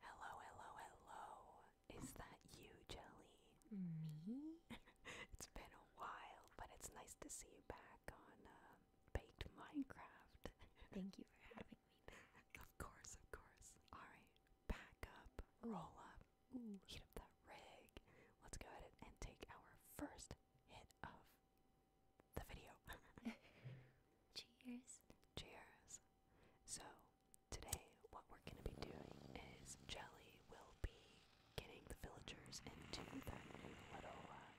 Hello, hello, hello. Is that you, Jelly? Me? it's been a while, but it's nice to see you back on uh, Baked Minecraft. Thank you for having me back. Of course, of course. Alright, back up, roll up, Ooh. heat up that rig. Let's go ahead and take our first hit of the video. Cheers. Cheers. So, today what we're going to be doing is Jelly will be getting the villagers into their little uh,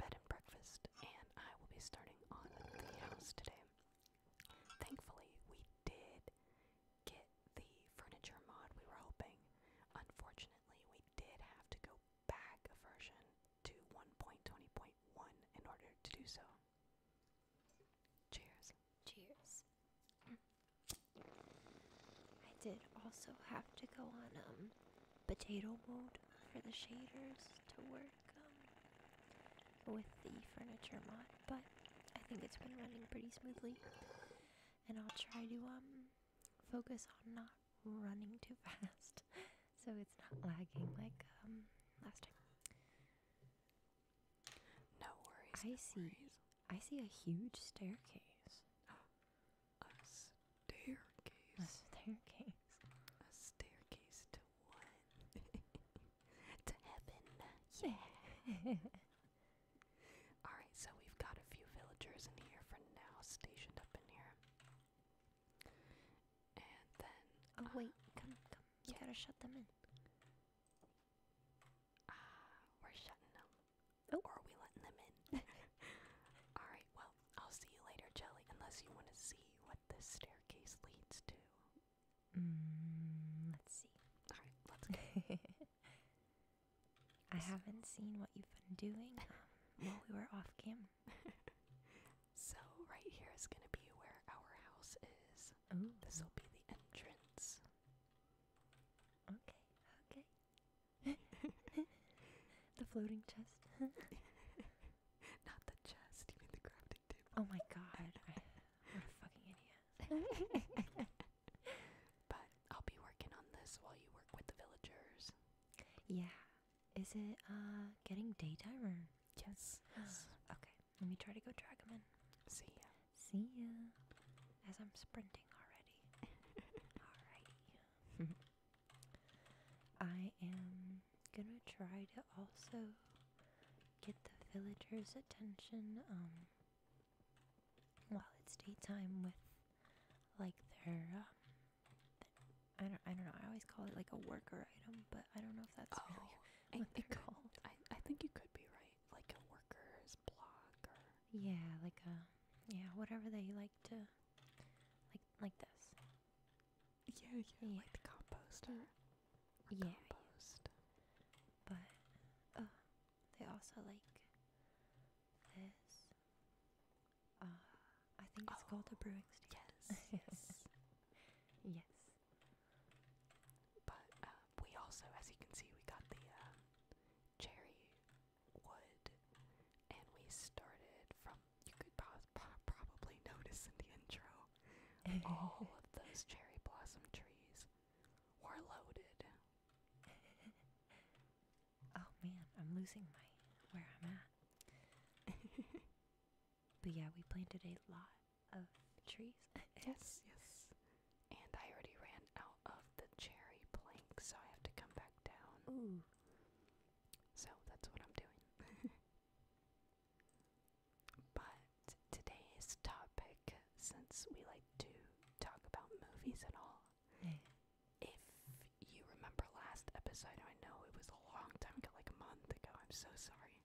bed and breakfast, and I will be starting on the house today. Thankfully, we did get the furniture mod we were hoping. Unfortunately, we did have to go back a version to 1.20.1 in order to do so. Cheers. Cheers. I did also have to go on um potato mode for the shaders to work um, with the furniture mod, but I think it's been running pretty smoothly. And I'll try to um focus on not running too fast so it's not lagging like um last time. No worries. I see. I see a huge staircase. A staircase. A staircase. A staircase to what? to heaven. Yeah. Alright, so we've got a few villagers in here for now, stationed up in here. And then. Oh, wait, come, come. You gotta shut them in. Ah, we're shutting them. Oh. Or are we letting them in? Alright, well, I'll see you later, Jelly, unless you want to see what this staircase leads to. Mm, let's see. Alright, let's go. I haven't seen what you've been doing um, while we were off game. So right here is gonna be where our house is. This will be the entrance. Okay, okay. the floating chest. Not the chest, you the crafting table. Oh my god. I, what a fucking idiot. but I'll be working on this while you work with the villagers. Yeah. Is it uh getting daytime or Yes. Yes. Okay. Let me try to go drag him in. See ya. See ya. As I'm sprinting already. Alright. I am gonna try to also get the villagers' attention, um, while it's daytime with, like, their, um, I don't, I don't know. I always call it like a worker item, but I don't know if that's oh, really I, they're called. I, I think you could be right, like a worker's block or yeah, like a yeah, whatever they like to like like this. Yeah, yeah, yeah. like the composter. Yeah, compost. but uh, they also like this. Uh, I think it's oh, called a brewing station. Yes, yes, yes. But uh, we also, as you can see, we got the uh, cherry wood, and we started from. You could probably notice in the intro, all of those cherry blossom trees were loaded. oh man, I'm losing my where I'm at. But yeah, we planted a lot of trees. yes, yes. And I already ran out of the cherry plank, so I have to come back down. Ooh. So that's what I'm doing. but today's topic, since we like to talk about movies and all, if you remember last episode, I know it was a long time ago, like a month ago, I'm so sorry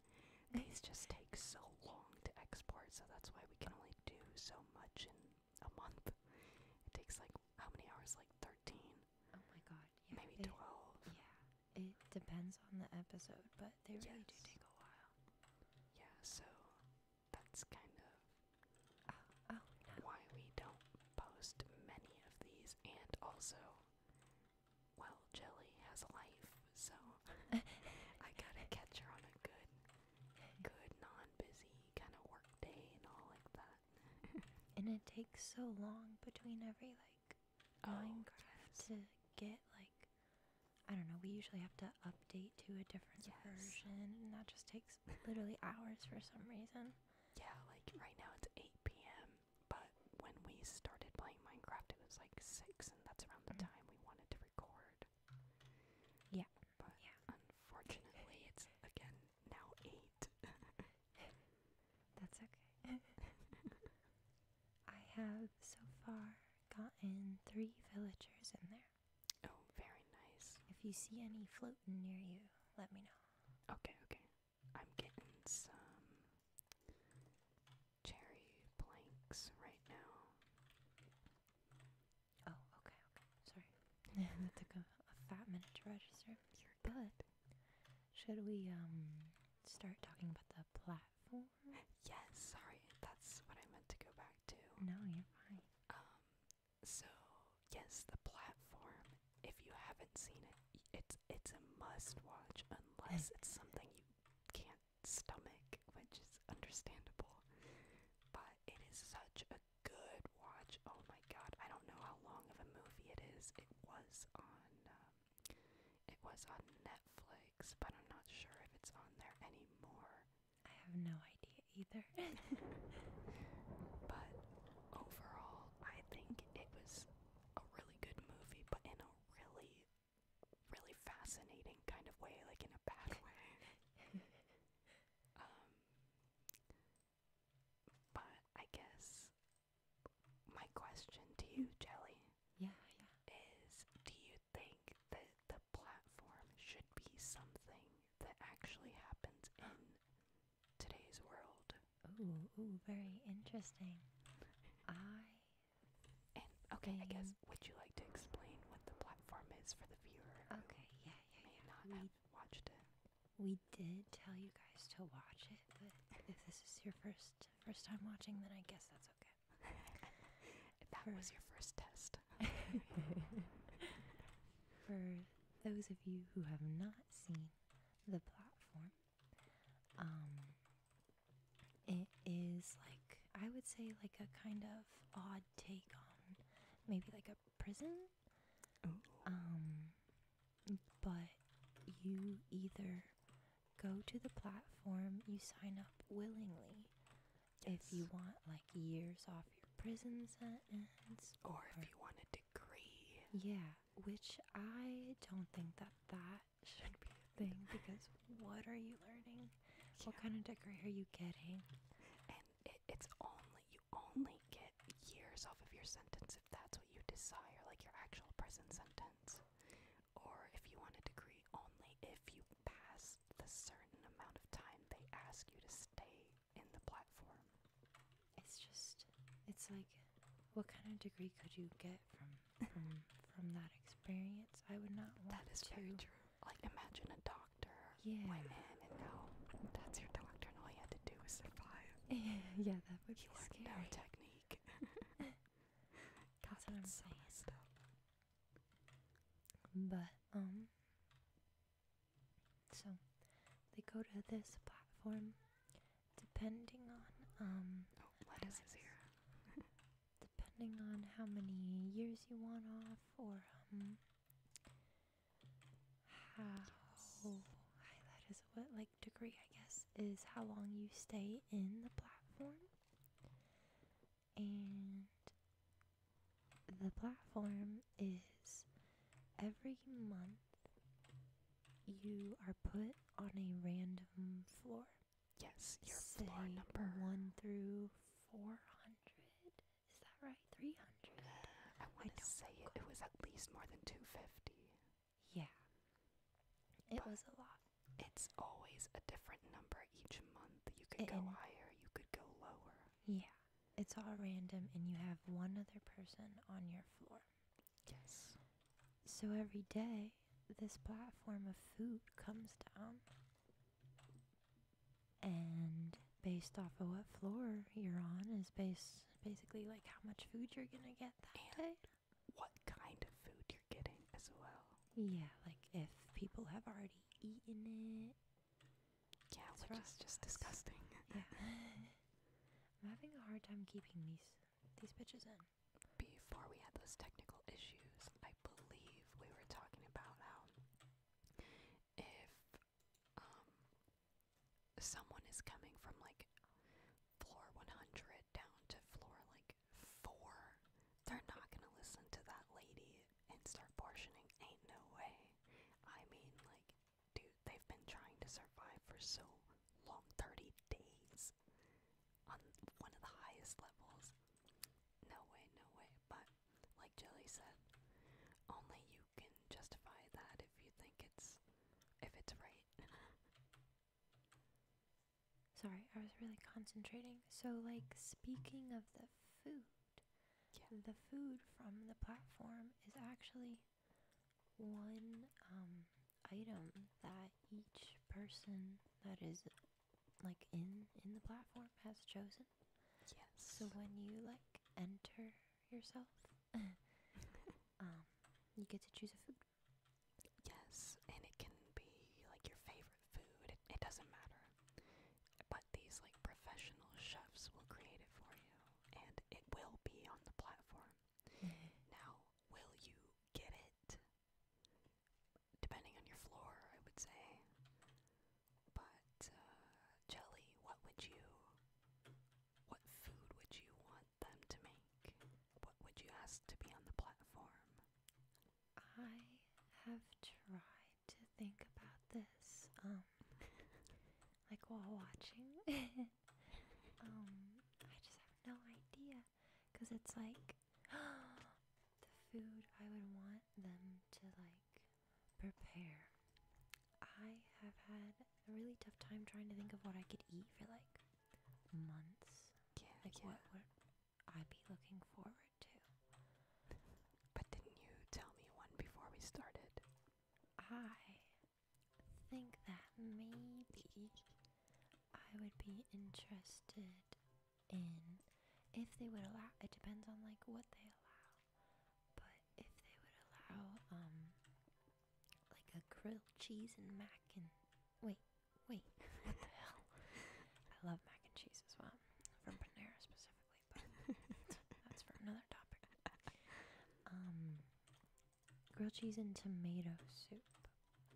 these just take so long to export, so that's why we can only do so much in a month. It takes like how many hours? Like 13. Oh my god. Yeah, Maybe 12. Yeah. It depends on the episode, but they really do take a while. Yeah, so that's kind of oh, oh, why we don't post many of these and also well, Jelly has life, so I gotta catch her on a good, good, non-busy kind of work day and all like that. and it takes so long between every like oh, Minecraft to get like I don't know. We usually have to update to a different version, and that just takes literally hours for some reason. Yeah, like right now it's 8 p.m but when we started playing Minecraft, it was like six, and that's around the mm. time we wanted to record. Yeah, but unfortunately, it's again now eight. that's okay. I have so far gotten three villagers in there. Oh, very nice. If you see any floating near you, let me know. Okay, okay. I'm getting some cherry planks right now. Oh, okay, okay. Sorry. that took a, fat minute to register. You're good. should we um start talking about the platform? Yes, sorry. That's what I meant to go back to. No, you're fine. Um so yes, the platform. If you haven't seen it, it's it's a must watch unless it's something you can't stomach, which is understandable. But it is such a good watch. Oh my god, I don't know how long of a movie it is. It was on um, it was on Netflix, but I'm not sure if it's on there anymore. I have no idea either. but overall, I think it was a really good movie, but in a really, really fascinating kind of way, like in a bad way. um, but I guess my question to you, Jelly, yeah, yeah, is: Do you think that the platform should be something that actually happens in today's world, Ooh, ooh, very interesting. I and okay, I guess would you like to explain what the platform is for the viewer? Okay, yeah, yeah, yeah. we, watched it. We did tell you guys to watch it, but if this is your first first time watching, then I guess that's okay. if that was your first test. for those of you who have not seen the platform, um, it is like, I would say, like a kind of odd take on maybe like a prison. Um, but you either go to the platform, you sign up willingly if you want like years off your prison sentence, or if you want a degree. Yeah, which I don't think that that should be a thing because what are you learning? What kind of degree are you getting? And it, it's only you only get years off of your sentence if that's what you desire, like your actual prison sentence. Or if you want a degree, only if you pass the certain amount of time they ask you to stay in the platform. It's just, it's like, what kind of degree could you get from from from that experience? I would not want. That is to. very true. Like, imagine a doctor yeah. went in and go, "That's your doctor, and all you had to do was survive." yeah, that would you be scary. You learned no technique. God, that's what I'm so saying. Messed up. But um, so they go to this platform depending on um oh lettuce is here depending on how many years you want off or um how high that is what like degree I guess is how long you stay in the platform and the platform is every month you are put on a random floor. Yes, your floor number. 1 through 400. Is that right? 300. Uh, I want to say it. was at least more than 250. Yeah. It was a lot. It's always a different number each month. You could go higher, you could go lower. Yeah. It's all random, and you have one other person on your floor. Yes. So every day, this platform of food comes down. And based off of what floor you're on is based basically like how much food you're gonna get that day. What kind of food you're getting as well. Yeah, like if people have already eaten it. Yeah, That's which is just disgusting. Yeah. I'm having a hard time keeping these these bitches in. Before we had those technical issues, I believe we were talking about how if um, someone is coming from like floor 100 down to floor like 4, they're not gonna listen to that lady and start portioning. Ain't no way. I mean, like, do they've been trying to survive for so long 30 days on one of the highest levels. No way, no way. But, like Jelly said, only you can justify that if you think it's. if it's right. Sorry, I was really concentrating. So, like, speaking of the food, the food from the platform is actually one um, item that each person that is like in in the platform has chosen. Yes. So when you like enter yourself, um, you get to choose a food. Yes, and it can be like your favorite food. it doesn't matter. But these like professional chefs will create it for you, and it will be on the platform. Now, will you get it? Depending on your floor, I would say. But, uh, Jelly, what would you. What food would you want them to make? What would you ask to be on the platform? I have tried to think about this, um, like while watching. um, I just have no idea, cause it's like the food I would want them to like prepare. I have had a really tough time trying to think of what I could eat for like months. Yeah, like yeah. what would be looking forward to? But didn't you tell me one before we started? I think that maybe I would be interested in if they would allow it depends on like what they allow. But if they would allow um like a grilled cheese and mac and wait, wait, what the hell? I love mac and cheese as well. From Panera specifically, but that's for another topic. Um grilled cheese and tomato soup.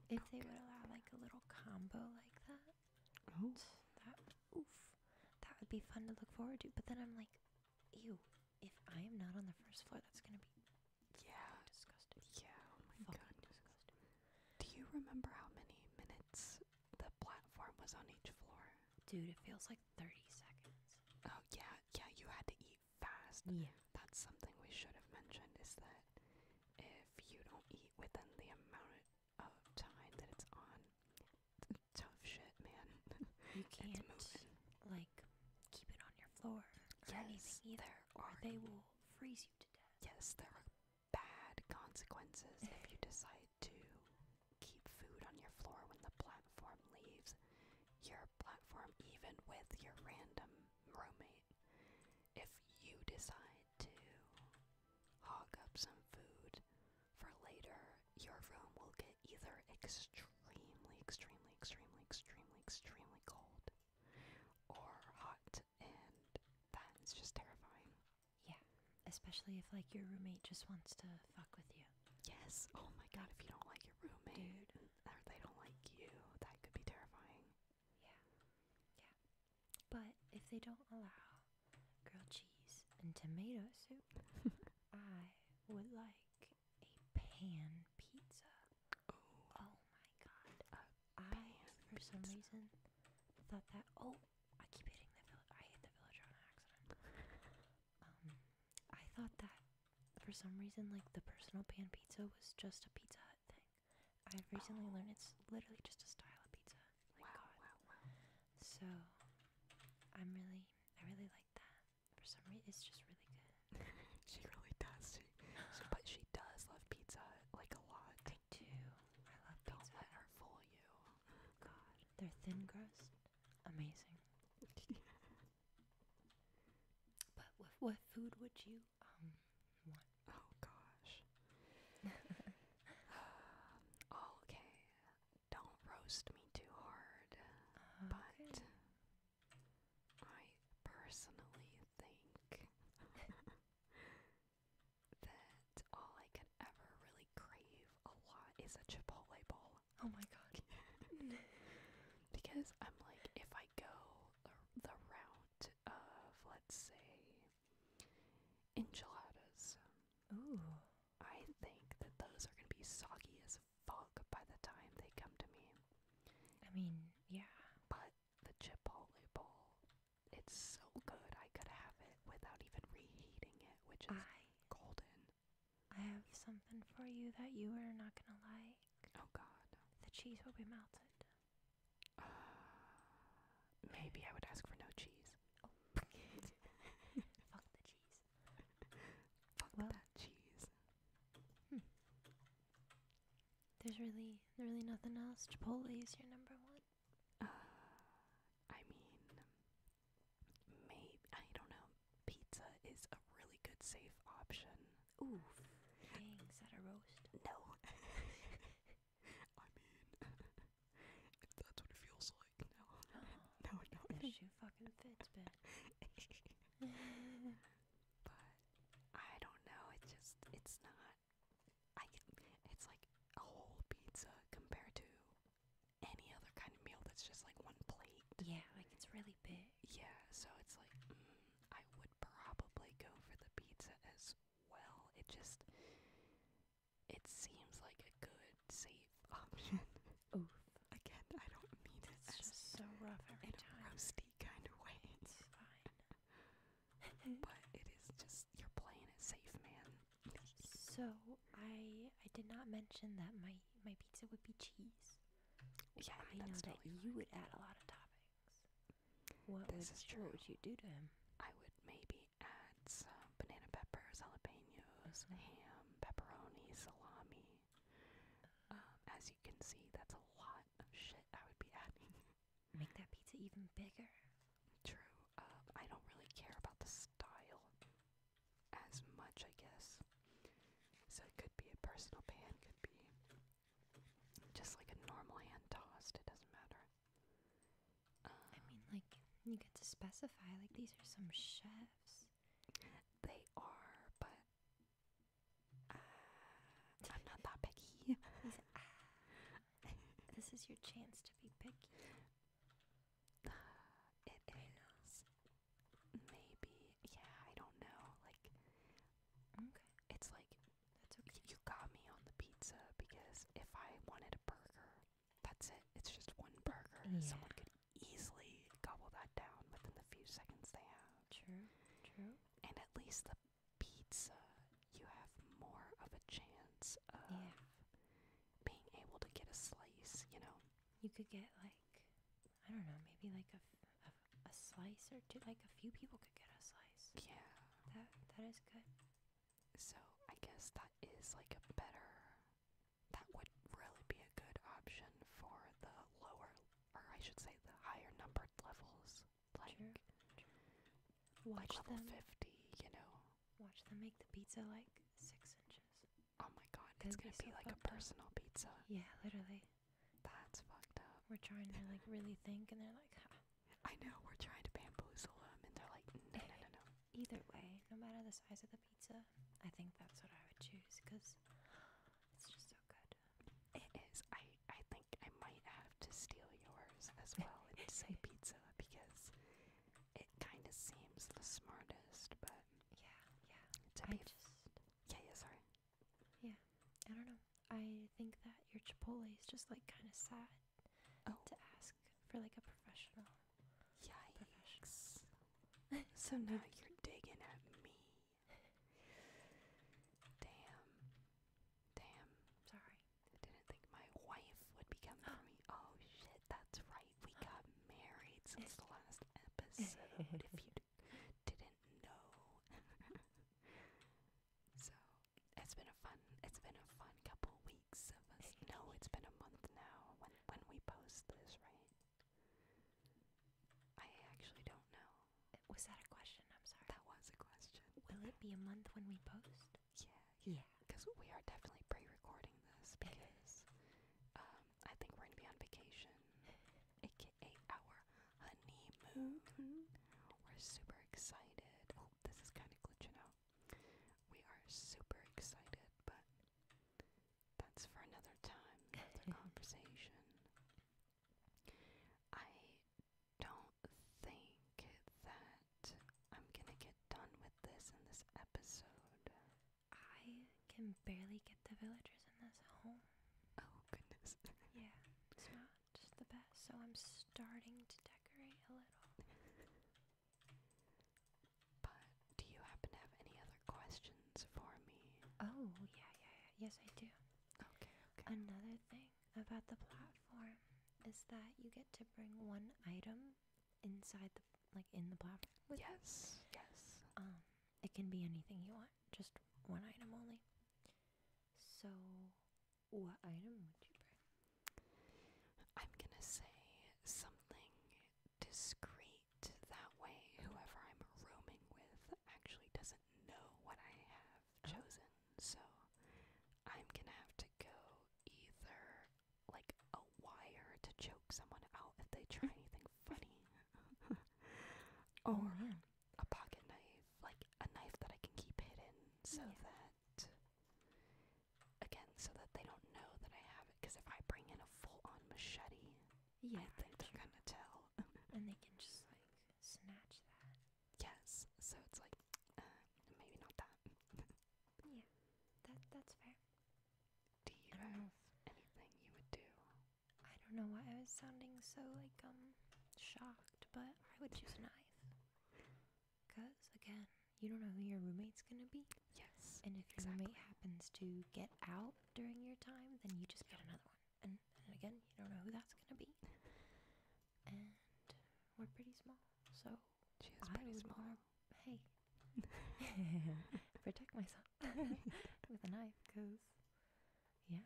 If they would allow like a little combo like that, that oof, that would be fun to look forward to. But then I'm like, ew, if I am not on the first floor, that's gonna be yeah disgusting. Yeah, oh my god, disgusting. Do you remember how many minutes the platform was on each floor? Dude, it feels like 30 seconds. Oh yeah, yeah, you had to eat fast. Yeah. That's something we should have mentioned is that if you don't eat within the amount of time that it's on, tough shit, man. You can't like keep it on your floor yes, either, or they will freeze you to death. Yes, there are bad consequences if you decide to keep food on your floor when the platform leaves. Your platform, even with your random roommate. If you decide to hog up some food for later, your room will get either extremely, extremely, extremely, extremely, extremely cold or hot, and that is just terrifying. Yeah, especially if like your roommate just wants to fuck with you. Yes. Oh my god, if you don't like your roommate or they don't like you, that could be terrifying. Yeah. Yeah. But if they don't allow grilled cheese and tomato soup, I would like a pan pizza. oh my god. A I, for some reason, thought that. Oh, I keep hitting the I hit the villager on accident. I thought that for some reason, like the personal pan pizza was just a Pizza thing. I've recently learned it's literally just a style of pizza. wow, So I'm really, I really like that. For some reason, it's just really good. she really does. She, but she does love pizza like a lot. I do. I love Don't let her fool you. God, they're thin crust, amazing. But what food would you um want? Oh gosh. oh, okay. Don't roast me too hard. Ah, but I personally think that all I could ever really crave a lot is a Chipotle bowl. Oh my god. because I'm like, if I go the route of, let's say, enchiladas, Ooh. I think that those are going to be soggy as fuck by the time they come to me. I mean, yeah. But the Chipotle bowl, it's so good. I could have it without even reheating it, which is golden. I have something for you that you are not gonna like. Oh God. The cheese will be melted. Uh, maybe I would ask for no cheese. Oh. Fuck the cheese. Fuck that cheese. Hmm. There's really, really nothing else. Chipotle is your number one. Uh, I mean, maybe I don't know. Pizza is a really good safe option. Ooh, is that a roast? No. I mean, if that's what it feels like, no. Oh, no, no. That fucking fits, bitch. but I don't know. It's just, it's not. I. It's like a whole pizza compared to any other kind of meal that's just like one plate. Yeah, like it's really big yeah, so it's like mm, I would probably go for the pizza as well. It just it seems like a good safe option. Oof. Again, I don't mean It's just so rough every in A roasty kind of way. It's fine. but it is just you're playing it safe, man. so I I did not mention that my my pizza would be cheese. Yeah, I, know that you would add a lot of toppings. What would, you do to him? I would maybe add some banana peppers, jalapenos, mm-hmm. ham, pepperoni, salami. Um, as you can see, that's a lot of shit I would be adding. Make that pizza even bigger. True. Um, I don't really care about the style as much, I guess. So it could be a personal pan, could be just like a normal hand tossed, it doesn't matter. I um, mean, like, you get to specify, like, these are some chefs. They are, but uh, I'm not that picky. Ah, this is your chance to be picky. It is maybe yeah i don't know like okay it's like that's okay you got me on the pizza because if i wanted a burger that's it it's just one burger someone could easily gobble that down within the few seconds they have true true and at least the pizza you have more of a chance of being able to get a slice you know you could get like I don't know, maybe like a, a, slice or two. Like a few people could get a slice. Yeah. That that is good. So I guess that is like a better. That would really be a good option for the lower, or I should say, the higher numbered levels. Like, watch like level fifty. You know. Watch them make the pizza like six inches. Oh my god, it's gonna be, like a personal pizza. Yeah, literally. That's fucked up. We're trying to like really think, and they're like, huh. I know, we're trying to bamboozle them, and they're like, no, no, no, no. Either way, no matter the size of the pizza, I think that's what I would choose because it's just so good. It is. I, I think I might have to steal yours as well and say pizza because it kind of seems the smartest, but. Yeah, yeah. To I be just yeah, yeah, sorry. Yeah, I don't know. I think that your Chipotle is just like kind of sad oh. to ask for like a professional. Yikes. so now you're digging at me. Damn. Damn. Sorry. I didn't think my wife would be coming for me. Oh shit, that's right. We got married since the last episode, didn't know. so it's been a fun it's been a fun couple weeks of us. No, it's been a month now when when we post this, right? I actually don't know. Was that a question? I'm sorry. That was a question. Will it be a month when we post? Yeah. Yeah. Because we are definitely pre-recording this because um, I think we're gonna be on vacation, aka our honeymoon. We're super excited. Oh, this is kind of glitching out. We are super excited, but that's for another time, another conversation. I don't think that I'm gonna get done with this in this episode. I can barely get the villagers in this home. Oh, goodness. yeah, it's not just the best. So I'm starting to decorate a little. But do you happen to have any other questions for me? Oh, yeah, yeah, yeah. Yes, I do. Okay, okay. Another thing about the platform is that you get to bring one item inside the like in the platform. yes, yes. Um it can be anything you want, just one item only. So, what item would you bring? I'm gonna say something discreet. That way, whoever I'm roaming with actually doesn't know what I have oh. chosen. So, I'm gonna have to go either like a wire to choke someone out if they try anything something funny. or mm-hmm. a pocket knife, like a knife that I can keep hidden so that again, so that they don't know that I have it because if I bring in a full-on machete, yeah, they're gonna tell. and they can just like snatch that. Yes. So it's like uh, maybe not that. yeah. That that's fair. Do you have anything you would do I don't know why I was sounding so like um shocked, but I would choose a knife. Cause again, you don't know who your roommate's gonna be. Yes. And if your roommate happens to get out during your time, then you just get another one. And, again, you don't know who that's gonna be. And we're pretty small, so she I pretty would small. hey, protect myself with a knife because yeah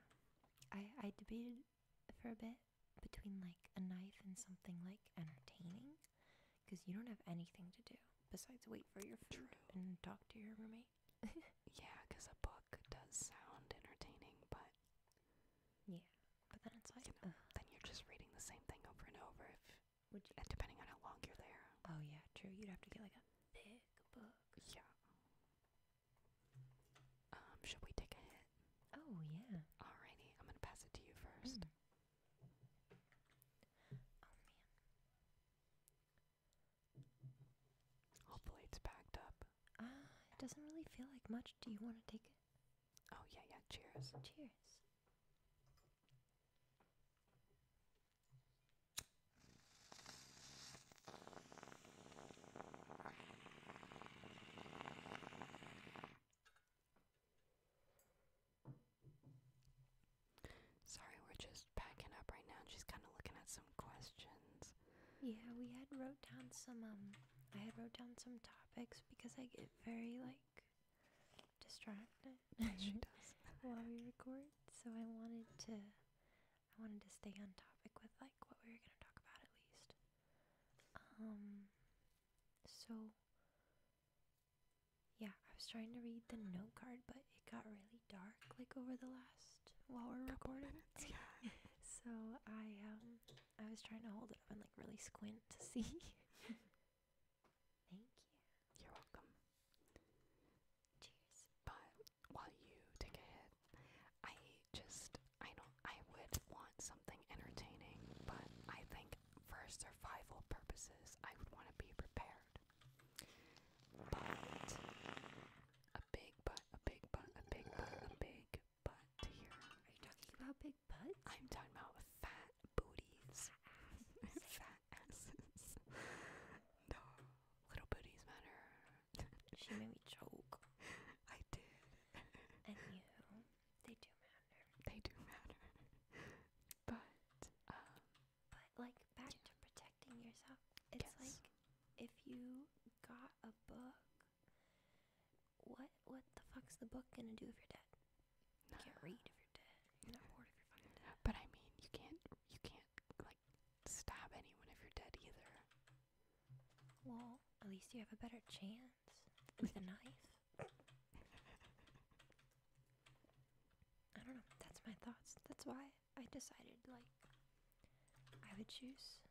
i i debated for a bit between like a knife and something like entertaining because you don't have anything to do besides wait for your food and talk to your roommate yeah because a book does sound entertaining but yeah but then it's like then you're just reading the same thing over and over depending on how long you're there. Oh yeah, true. You'd have to get like a big book. Yeah. Um, should we take a hit? Oh yeah. Alrighty, I'm gonna pass it to you first. Hmm. Oh man. Hopefully it's packed up. Ah, it doesn't really feel like much. Do you want to take it? Oh yeah, yeah. Cheers. Cheers. Sorry, we're just packing up right now and she's kind of looking at some questions. Yeah, we had wrote down some um I had wrote down some topics because I get very like distracted. while we record. So I wanted to, I wanted to stay on topic with like what we were gonna talk about at least. Um. So. Yeah, I was trying to read the note card, but it got really dark like over the last while we're recording. Minutes, yeah. so I um I was trying to hold it up and like really squint to see. Thank you. You're welcome. Cheers. But while you take a I just I don't I would want something entertaining, but I think for survival purposes I would want to be prepared. But a big butt, a big butt, a big butt, a big butt here. Are you talking about big butts? I'm talking about fat booties. asses. No, little booties matter. she made me choke. I did. And you, they do matter. They do matter. But, um, but like back to protecting yourself. It's like if you got a book, what what the fuck's the book gonna do if you're dead? You can't read. But I mean, you can't, you can't, like, stab anyone if you're dead either. Well, at least you have a better chance with a knife. I don't know. That's my thoughts. That's why I decided, like, I would choose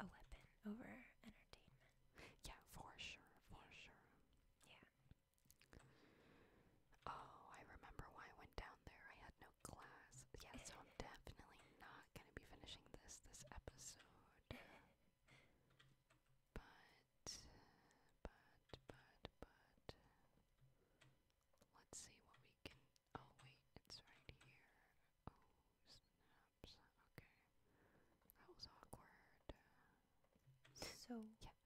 a weapon over entertainment. Yeah, for sure, for sure. Yeah. Oh, I remember why I went down there. I had no class. Yeah, so I'm definitely not gonna be finishing this this episode. But, but, but, but. Let's see what we can. Oh, wait, it's right here. Oh, snaps. Okay. That was awkward. So, yeah.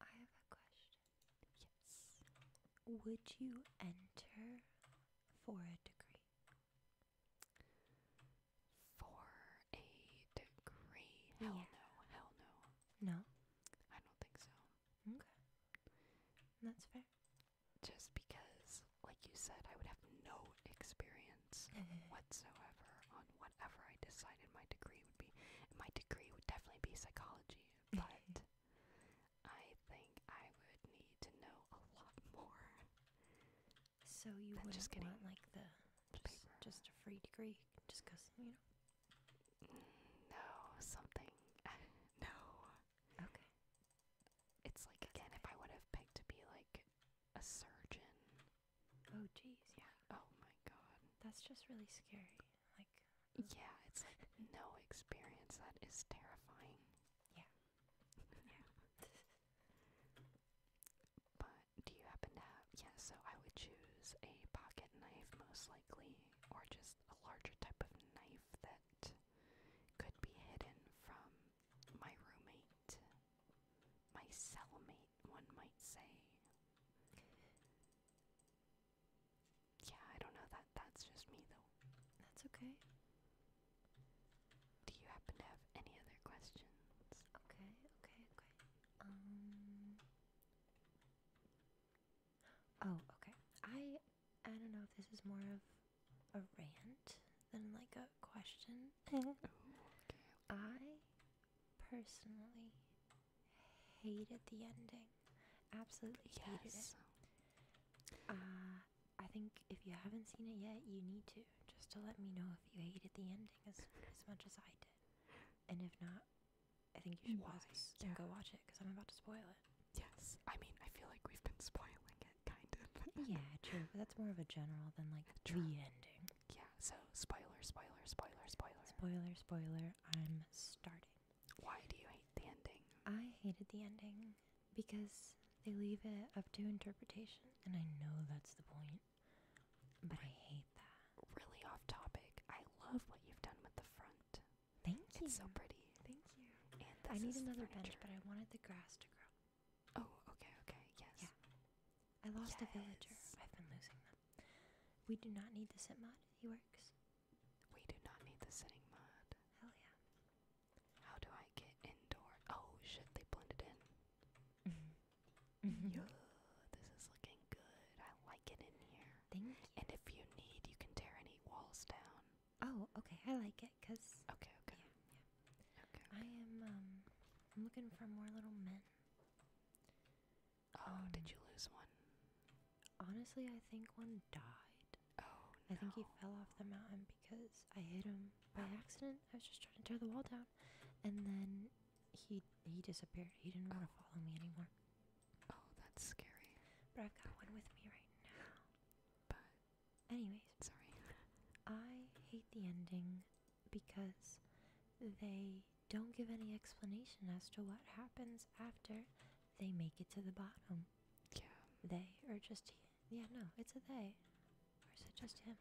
I have a question. Would you enter for a degree? For a degree? Hell no. Hell no. No? I don't think so. Okay. That's fair. Just because, like you said, I would have no experience whatsoever on whatever I decided my degree would be. And my degree would definitely be psychology but I think I would need to know a lot more. So you would just want like the just, just a free degree, just you know? no, something. no. Okay. It's like again, if I would have picked to be like a surgeon. Oh jeez. Yeah. Oh my god. That's just really scary. Like, yeah, it's like no experience. That is terrifying. Yeah. Yeah. but do you happen to have. Yeah, so I would choose a pocket knife most likely, or just a larger type of knife that could be hidden from my roommate, my cellmate, one might say. Yeah, I don't know that that's just me though. That's okay. Do you happen to have any other questions? Okay, okay, okay. Um Oh, okay. I I don't know if this is more of a rant than like a question. Ooh, okay. I personally hated the ending. Absolutely hated it. Uh, I think if you haven't seen it yet, you need to just to let me know if you hated the ending as as much as I did. And if not, I think you should Why? yeah. go watch it because I'm about to spoil it. Yes, I mean I feel like we've been spoiling it kind of. yeah, true. But that's more of a general than like the ending. Yeah. So spoiler, spoiler, spoiler, spoiler. Spoiler, spoiler, I'm starting. Why do you hate the ending? I hated the ending because they leave it up to interpretation, and I know that's the point, but I hate that. Really off topic. I love what you've done with the front. Thank you. It's so pretty. Thank you. I need another bench, but I wanted the grass to grow. Oh, okay, okay, yes. Yeah. I lost a villager. I've been losing them. We do not need the sit mod. He works. We do not need the sitting mod. Hell yeah. How do I get indoor? Oh shit, they blended in. Yo, this is looking good. I like it in here. Thank you. And if you need, you can tear any walls down. Oh, okay. I like it because. Okay, okay. Yeah, yeah. Okay, okay. I am, um, I'm looking for more little men. Oh, did um, you lose one? Honestly, I think one died. Oh, I think he fell off the mountain because I hit him by oh. accident. I was just trying to tear the wall down, and then he he disappeared. He didn't want to oh. follow me anymore. Oh, that's scary. But I've got one with me right now. But anyways, sorry. I hate the ending because they don't give any explanation as to what happens after they make it to the bottom. Yeah. They are just he. Yeah, no, it's a they. Or is it just him?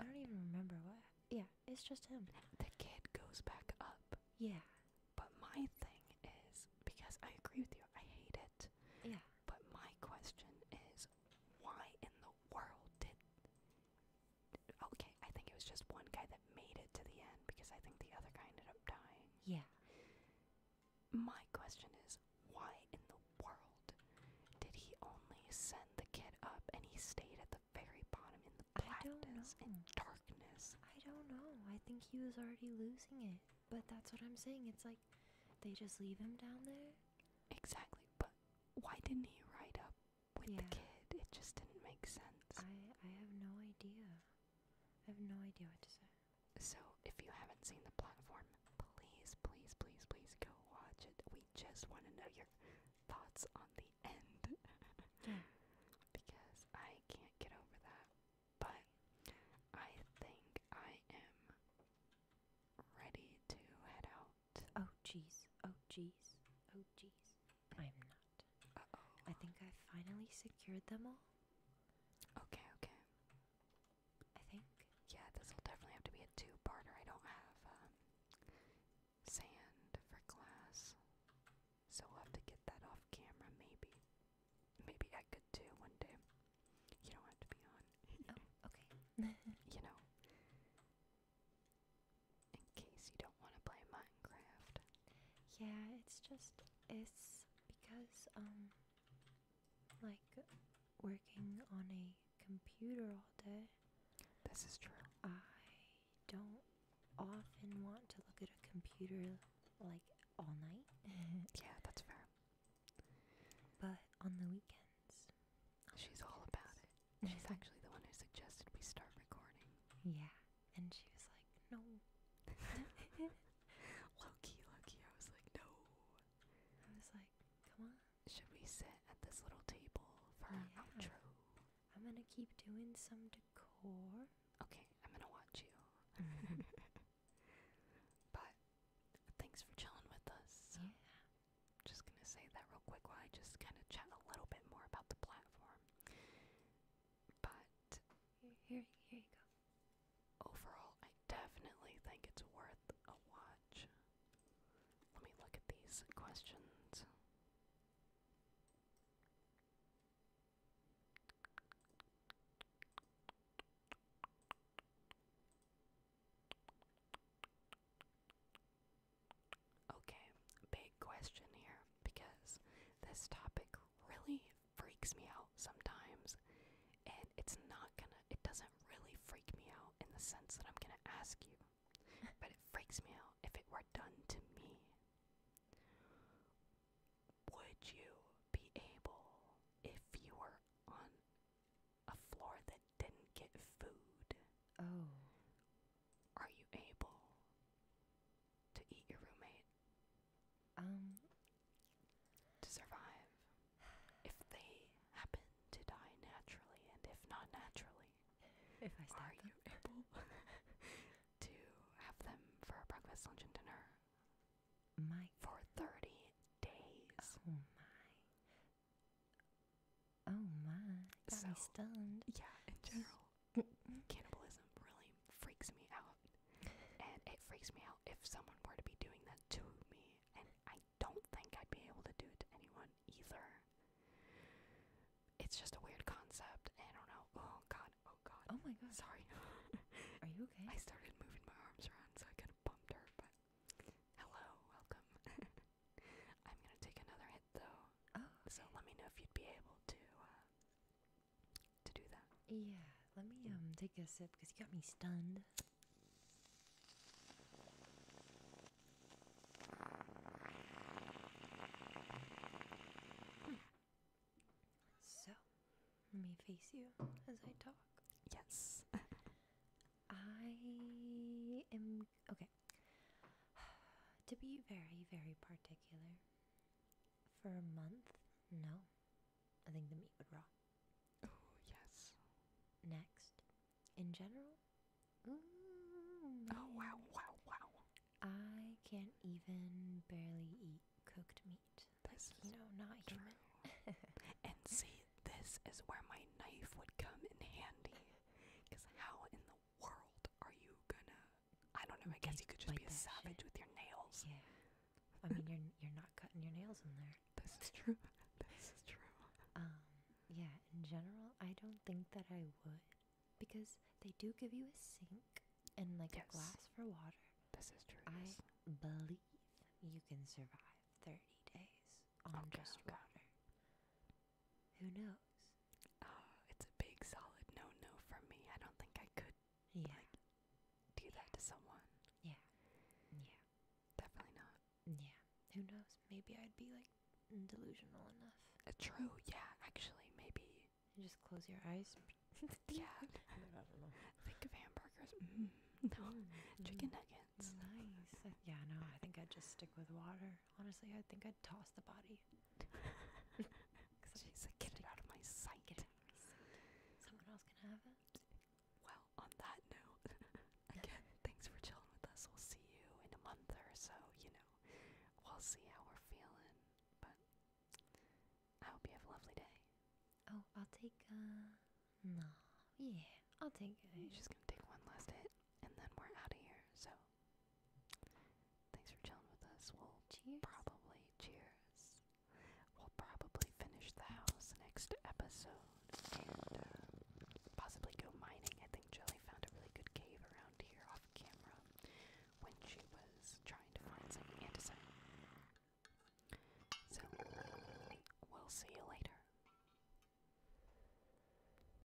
I don't even remember what. Yeah, it's just him. The kid goes back up. Yeah. But my thing is because I agree with you, I hate it. Yeah. But my question is why in the world did Okay, I think it was just one guy that made it to the end because I think the other guy ended up dying. Yeah. My question is why in the world did he only send the kid up and he stayed at the very bottom in the blackness and darkness? I don't know. I think he was already losing it. But that's what I'm saying. It's like they just leave him down there. Exactly. But why didn't he ride up with the kid. It just didn't make sense. I I have no idea. I have no idea what to say. So if you haven't seen the platform, please, please, please, please go watch it. We just want to know your thoughts on the end. Because I can't get over that. But I think I am ready to head out. Oh jeez. Oh jeez. Oh jeez. I'm not. Uh oh. I think I finally secured them all. Okay, okay. I think. Yeah, this will definitely have to be a two-parter. I don't have um, sand for glass, so we'll have to get that off camera. Maybe, maybe I could do one day. You don't have to be on. oh, okay. you know, in case you don't want to play Minecraft. Yeah, it's just it's because um like working on a computer all day. This is true. I don't often want to look at a computer like all night. yeah, that's fair. But on the weekends. She's all about it. She's actually the one who suggested we start recording. Yeah. And she was like, no. low key, I was like, no. I was like, come on. Should we sit at this little table for our outro? I'm gonna keep doing some decor. Okay, I'm gonna watch you. but thanks for chilling with us. Yeah. Just gonna say that real quick while I just kind of chat a little bit more about the platform. But here, here you go. Overall, I definitely think it's worth a watch. Let me look at these questions. Okay, big question here because this topic really freaks me out sometimes and it's not gonna it doesn't really freak me out in the sense that I'm gonna ask you. but it freaks me out if it were done to me. Would you be able if you were on a floor that didn't get food? Oh. Are you able to eat your roommate? Um. To survive. If they happen to die naturally, and if not naturally, if I are you able to have them for breakfast, lunch, and dinner? For 30 days. Oh Oh my, so, stunned. Yeah, in general, cannibalism really freaks me out. And it freaks me out if someone were to be doing that to me. And I don't think I'd be able to do it to anyone either. It's just a weird concept. I don't know. Oh god, oh god. Oh my god. Sorry. Are you okay? I started moving my arms around so I kind of bumped her, but hello, welcome. I'm gonna take another hit though. Oh, so let me know if you'd be able to uh, to do that. Yeah, let me um take a sip because you got me stunned. Hmm. So, let me face you as I talk. Yes. I am Okay. to be very, very particular, for a month, no. I think the meat would rot. Oh, yes. Next, in general, mm, oh wow, mm, wow, wow. I can't even barely eat cooked meat. This like, you know, not true. and see, this is where my knife would come in handy. Because how in the world are you gonna? I don't know. I guess you could just be a savage with your nails. Yeah. I mean, you're you're not cutting your nails in there. This is true. this is true. Um. Yeah. In general, I don't think that I would, because they do give you a sink and like a glass for water. This is true. I believe you can survive thirty days on just water. Who knows? Oh, it's a big solid no no from me. I don't think I could yeah. do that to someone. Yeah. Yeah. Definitely not. Yeah. Who knows? Maybe I'd be like delusional enough. Uh, true, yeah, actually maybe. just close your eyes. yeah. think of hamburgers. Mm. No. Mm, mm. Chicken nuggets. Nice. yeah, no, I think I'd just stick with water. Honestly, I think I'd toss the body. She's like, get it out of my sight. Get it Someone else can have it. Well, on that note, again, thanks for chilling with us. We'll see you in a month or so, you know. We'll see how we're feeling. But I hope you have a lovely day. Oh, I'll take, uh, no. Yeah, I'll take it. She's gonna take one last hit, and then we're out of here, so. Thanks for chilling with us. We'll probably cheers. We'll probably finish the house next episode and uh, possibly go mining. I think Joey found a really good cave around here off camera when she was trying to find some andesite. So, we'll see you later.